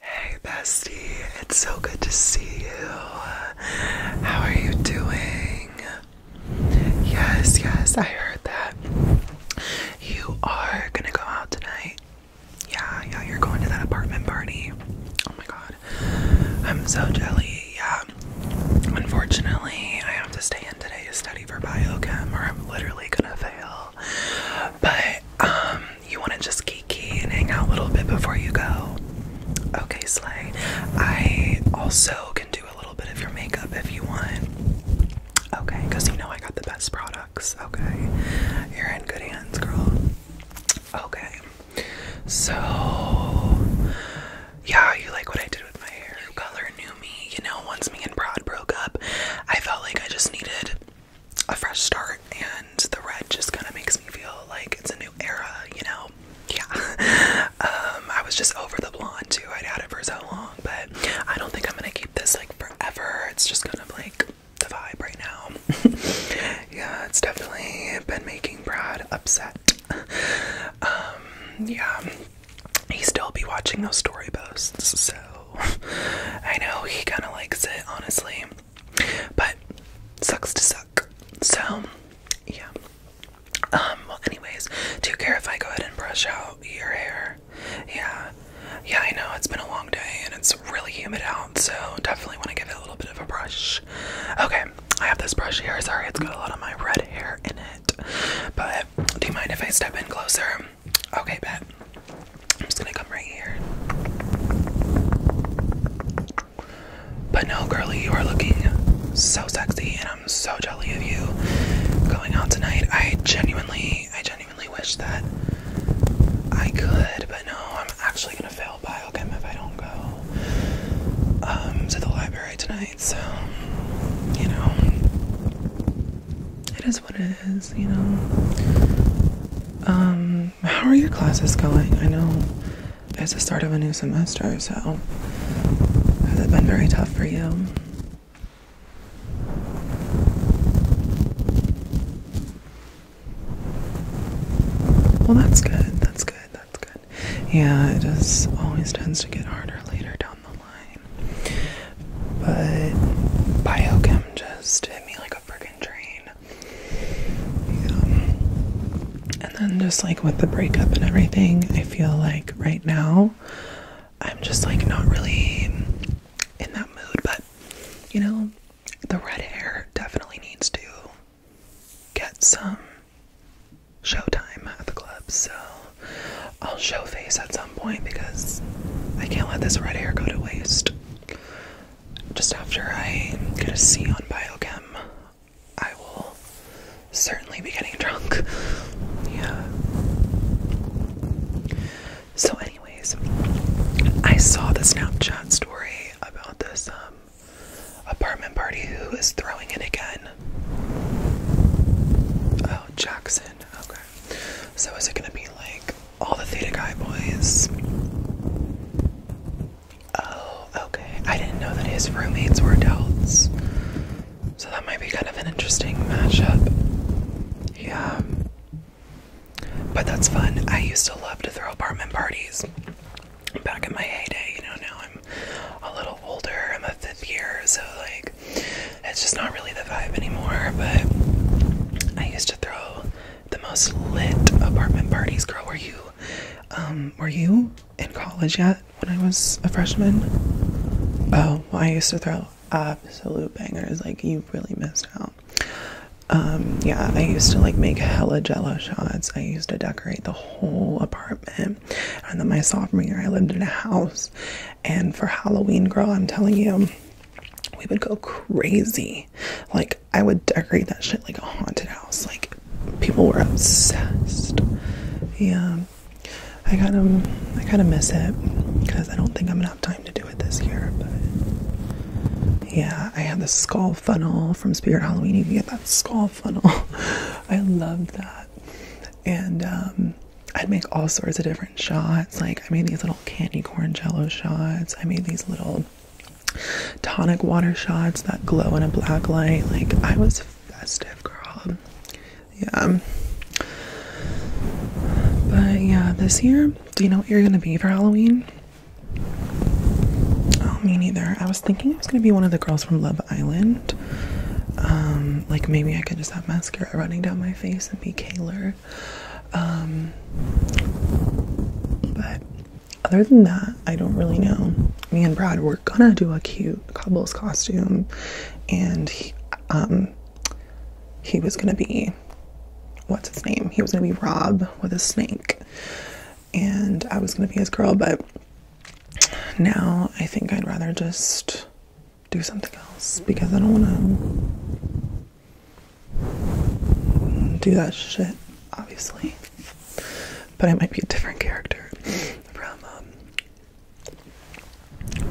Hey bestie, it's so good to see you. How are you doing? Yes, yes, I heard that. You are gonna go out tonight. Yeah, yeah, you're going to that apartment party. Oh my god. I'm so jelly. Yeah. Unfortunately, I have to stay in today to study for biochem or I'm literally gonna fail. But um you want to just geeky and hang out a little bit before you go? Okay, Slay. I also can do a little bit of your makeup if you want. Okay, because you know I got the best products. Okay, you're in good hands, girl. Okay, so yeah, you like what I did with my hair. Color knew me, you know, once me and Brad broke up, I felt like I just needed a fresh start, and the red just kind of makes me feel like it's a new era, you know? Yeah. Um, I was just over the blonde too. I'd had it for so long, but I don't think I'm gonna keep this like forever. It's just kind of like the vibe right now. yeah, it's definitely been making Brad upset. Um, yeah, he still be watching those story posts, so I know he kind of likes it, honestly. But sucks to suck. So yeah. Um, well anyways, do you care if I go ahead and brush out your hair? Yeah. Yeah, I know it's been a long day and it's really humid out, so definitely want to give it a little bit of a brush. Okay, I have this brush here. Sorry, it's got a lot of my red hair in it. But do you mind if I step in closer? Okay, bet. I'm just gonna come right here. But no, girly, you are looking so sexy, and I'm so jelly of you going out tonight. I genuinely, I genuinely wish that I could, but no, I'm actually gonna fail biochem if I don't go um, to the library tonight. So, you know, it is what it is, you know. Um, how are your classes going? I know it's the start of a new semester, so has it been very tough for you? Well, that's good. That's good. That's good. Yeah, it just always tends to get harder later down the line. But biochem just hit me like a train. And then just like with the breakup and everything, I feel like right now I'm just like not really in that mood, but you know, the red hair definitely needs to get some showtime at the club, so I'll show face at some point because I can't let this red hair go to waste just after I get a C on biochem, I will certainly be getting drunk. Yeah. So, anyways, I saw the Snapchat story about this um, apartment party who is throwing it again. Oh, Jackson. Okay. So is it gonna be like all the Theta guy boys? Oh, okay. I didn't know that his roommates were adults. So that might be kind of an interesting matchup. Yeah. But that's fun. I used to love to throw apartment parties back in my heyday. You know, now I'm a little older. I'm a fifth year, so like, it's just not really the vibe anymore. But I used to throw the most lit apartment parties, girl. Were you, um, were you in college yet when I was a freshman? Oh, I used to throw absolute bangers. Like you really missed out. Um, yeah, I used to like make hella jello shots. I used to decorate the whole apartment. And then my sophomore year, I lived in a house. And for Halloween, girl, I'm telling you, we would go crazy. Like I would decorate that shit like a haunted house. Like people were obsessed. Yeah. I kind of I kind of miss it because I don't think I'm gonna have time to do it this year. But yeah, I had the skull funnel from Spirit Halloween. You can get that skull funnel. I loved that, and um, I'd make all sorts of different shots. Like I made these little candy corn jello shots. I made these little tonic water shots that glow in a black light. Like, I was festive, girl. Yeah. But yeah, this year, do you know what you're gonna be for Halloween? Oh, me neither. I was thinking I was gonna be one of the girls from Love Island. Um, like maybe I could just have mascara running down my face and be Kaylor. Um, but other than that, I don't really know. Me and Brad were gonna do a cute Cobbles costume, and um, he was gonna be what's his name? He was gonna be Rob with a snake, and I was gonna be his girl, but now I think I'd rather just do something else because I don't want to do that shit, obviously. But I might be a different character from um,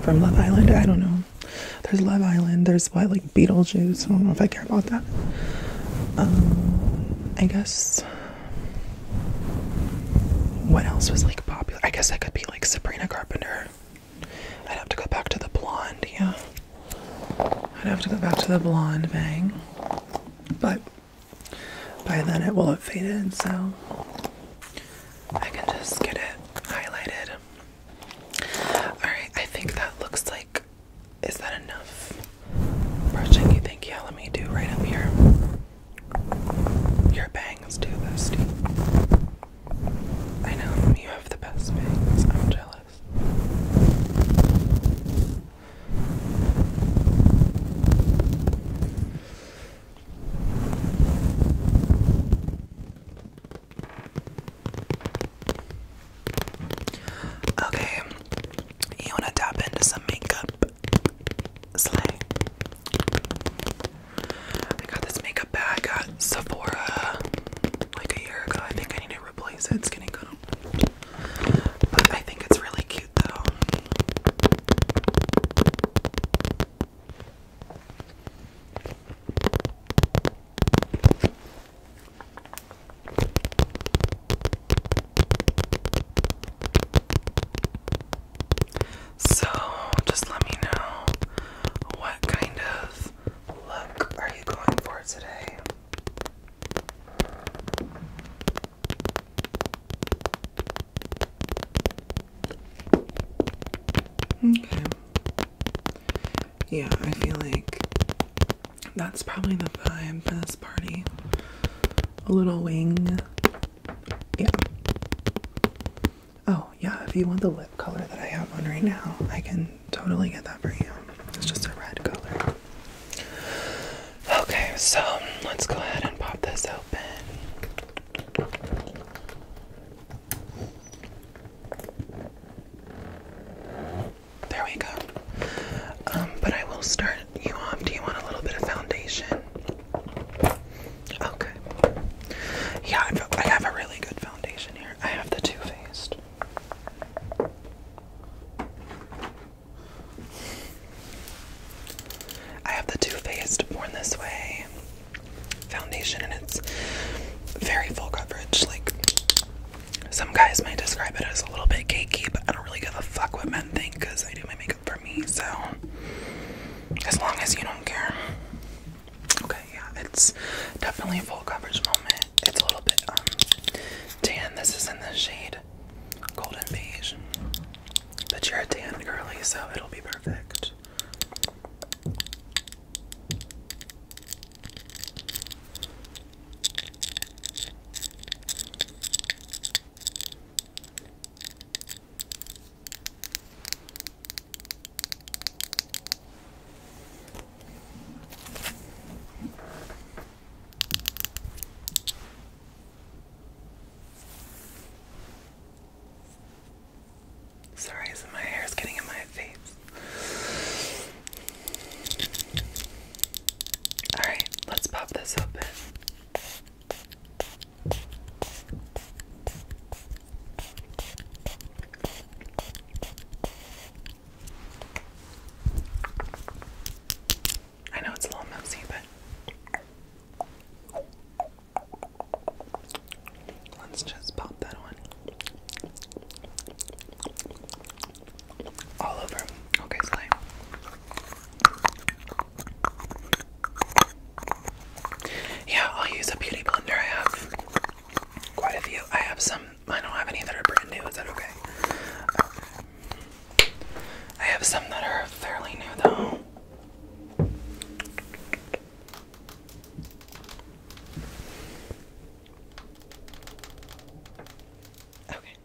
from Love Island. I don't know. There's Love Island. There's like Beetlejuice. I don't know if I care about that. Um, I guess. What else was like popular? I guess I could be like Sabrina Carpenter. I'd have to go back to the blonde, yeah. I'd have to go back to the blonde bang. But by then it will have faded, so I can just get it highlighted. Alright, I think that looks like. Is that enough? Brushing, you think? Yeah, let me do right up here. Your bangs, too, bestie. I know, you have the best bangs. I'm jealous. Okay, you want to tap into some makeup? Slay. I got this makeup bag. Sephora like a year ago. I think I need to replace it. It's getting But I think it's really cute though. So, just let me know what kind of look are you going for today? Okay. Yeah, I feel like that's probably the best party. A little wing. Yeah. Oh, yeah, if you want the lip color that I have on right now, I can totally get that for you. It's just a red color. Okay, so let's go ahead and pop this open. There we go. Um, but I will start you off. Do you want a little bit of foundation? Okay. Yeah, I have a really good foundation here. I have the Too Faced. I have the Too Faced Born This Way foundation, and it's very full coverage. Like, some guys might describe it as a little bit cakey, but I don't really give a fuck what men think because I do my makeup for me, so as long as you don't care. Okay, yeah, it's definitely a full coverage moment. It's a little bit um tan. This is in the shade golden beige. But you're a tan girly, so it'll be perfect. Sorry, my hair is getting in my face. Alright, let's pop this open. I know it's a little messy, but let's just pop that one all over. Okay, slime. Yeah, I'll use a beauty blender I have. Quite a few. I have some. I don't have any that are brand new. Is that okay? I have some that are fairly new though. Okay.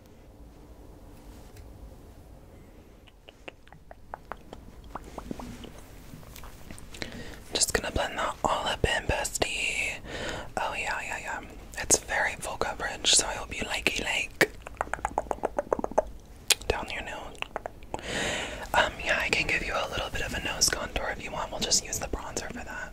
Just gonna blend that all up in, bestie. Oh, yeah, yeah, yeah. It's very full coverage, so I hope you like it, like. Down your nose. Um, yeah, I can give you a little bit of a nose contour if you want. We'll just use the bronzer for that.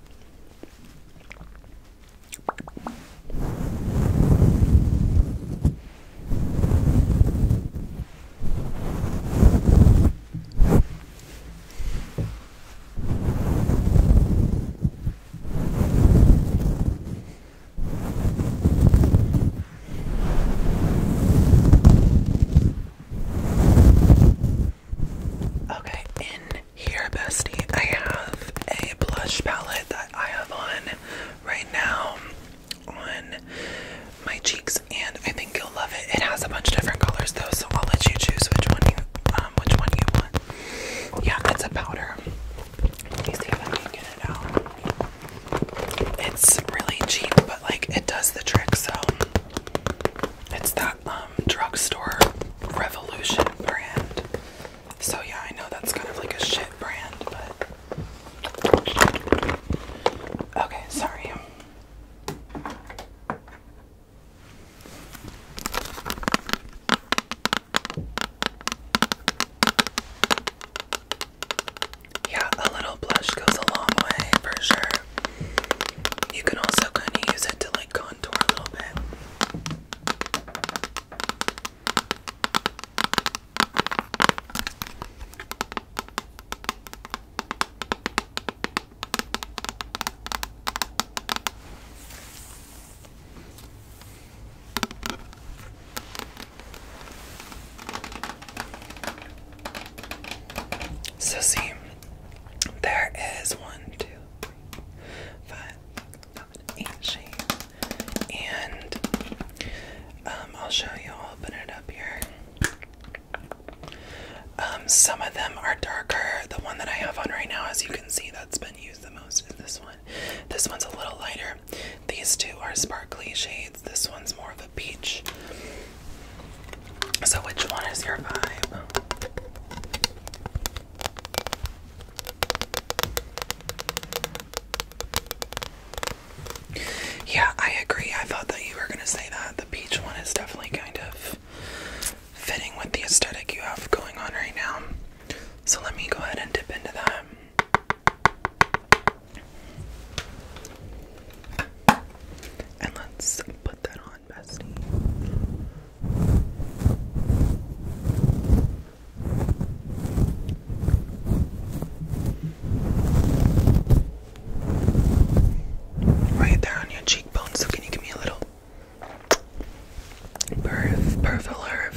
Okay, in here, bestie, I have a blush palette that I have on right now on my cheeks, and I think you'll love it. It has a bunch of different colors though, so I'll let you choose which one you um, which one you want. Yeah, it's a powder. Let me see if I can get it out. It's really cheap, but like it does the trick. So it's that um, drugstore Revolution brand. So yeah, I know that's kind of like a shit brand, but. Okay, sorry. Yeah, a little blush goes a long way for sure. You can also kind of use it to like contour a little bit. So see, there is one, two, three, five, seven, eight shades, and um, I'll show you. I'll open it up here. Um, some of them are darker. The one that I have on right now, as you can see, that's been used the most is this one. This one's a little lighter. These two are sparkly shades. This one's more of a peach. So, which one is your vibe? Yeah, I agree. I thought that you were going to say that the peach one is definitely kind of fitting with the aesthetic you have going on right now. So let me go ahead and dip into that. And let's put that on, bestie. Right there on your cheekbone, so can you give me a little perf, perf alert?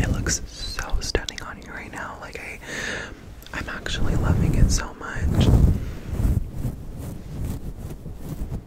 It looks so stunning on you right now. Like I I'm actually loving it so much.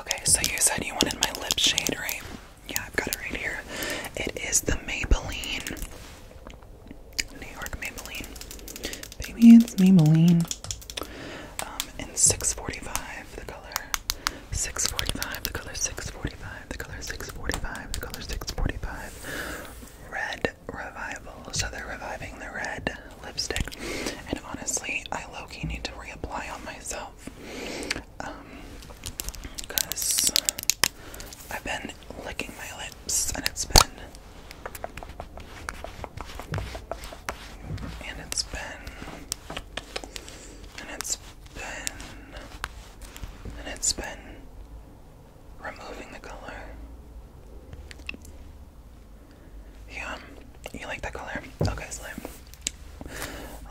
Okay, so you said you wanted my lip shade, right? Yeah, I've got it right here. It is the Maybelline. New York Maybelline. Baby, it's Maybelline. Um, in 645, the color. 645, the color 645, the color 645, the color 645. Red revival, so they're reviving the red lipstick. And honestly, I low need to reapply on myself. because um, I've been licking my lips and it's been. And it's been. And it's been. And it's been removing the color. Yeah, you like that color? Okay, Slim.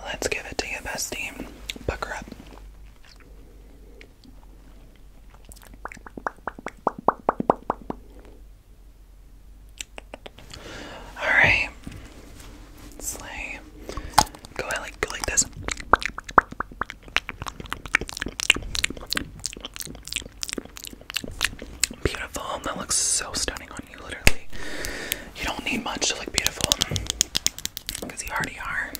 Let's give it to you, bestie. Pucker up. Alright. Slay. Go like go like this. Beautiful. That looks so stunning on you, literally. You don't need much to look beautiful because you already are.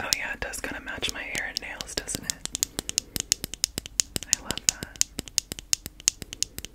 Oh, yeah, it does kind of match my hair and nails, doesn't it? I love that.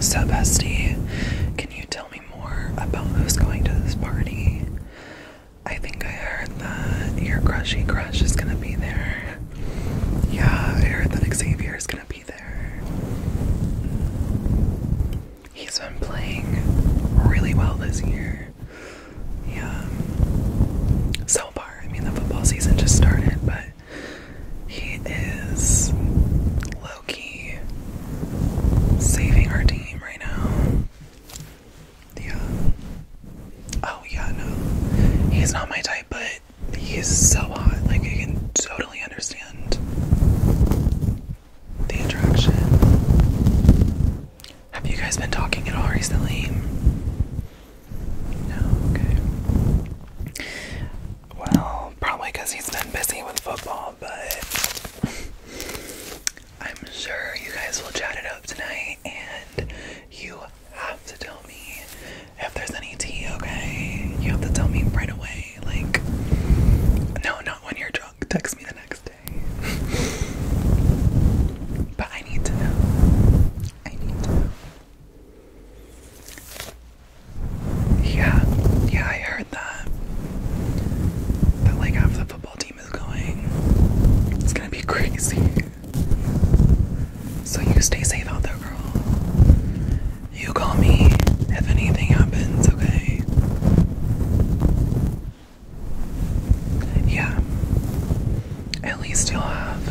So, Bestie, can you tell me more about who's going to this party? I think I heard that your crushy crush is gonna be there. Yeah, I heard that Xavier is gonna be there. He's been playing really well this year. Yeah. So far, I mean, the football season just started, but he is low key saving our team right now. Yeah. Oh, yeah, no. He's not my type, but he is so hot. Like, I can totally understand the attraction. Have you guys been talking at all recently? No, okay. Well, probably because he's been busy with football, but I'm sure you guys will chat it up tonight and you have to tell me if there's any tea, okay? You have to tell me right away. Like, no, not when you're drunk. Text me the next day. but I need to know. I need to know. Yeah, yeah, I heard that. That like half the football team is going. It's gonna be crazy. So you stay safe out there, girl. You call me if anything happens, okay? Yeah. At least you'll have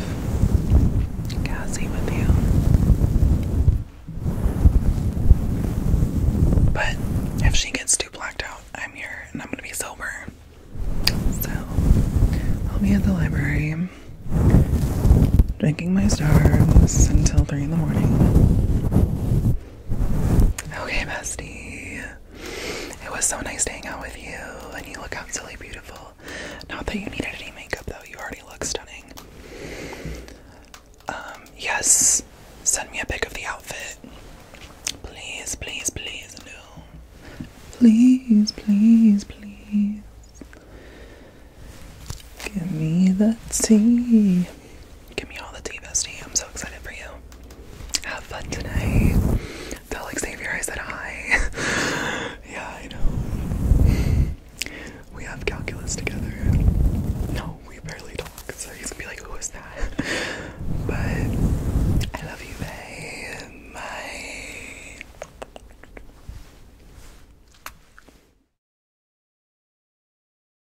Cassie with you. But if she gets too blacked out, I'm here and I'm gonna be sober. So I'll be at the library drinking my stars until three in the morning. Okay, bestie. It was so nice to hang out with you, and you look absolutely beautiful. Not that you needed any makeup, though. You already look stunning. Um, yes. Send me a pic of the outfit. Please, please, please, no. Please, please, please. Give me the tea. Give me all the tea, bestie. I'm so excited for you. Have fun tonight. Tell Xavier I said hi. yeah, I know. We have calculus together. No, we barely talk, so he's gonna be like, who is that? but I love you, babe. Bye.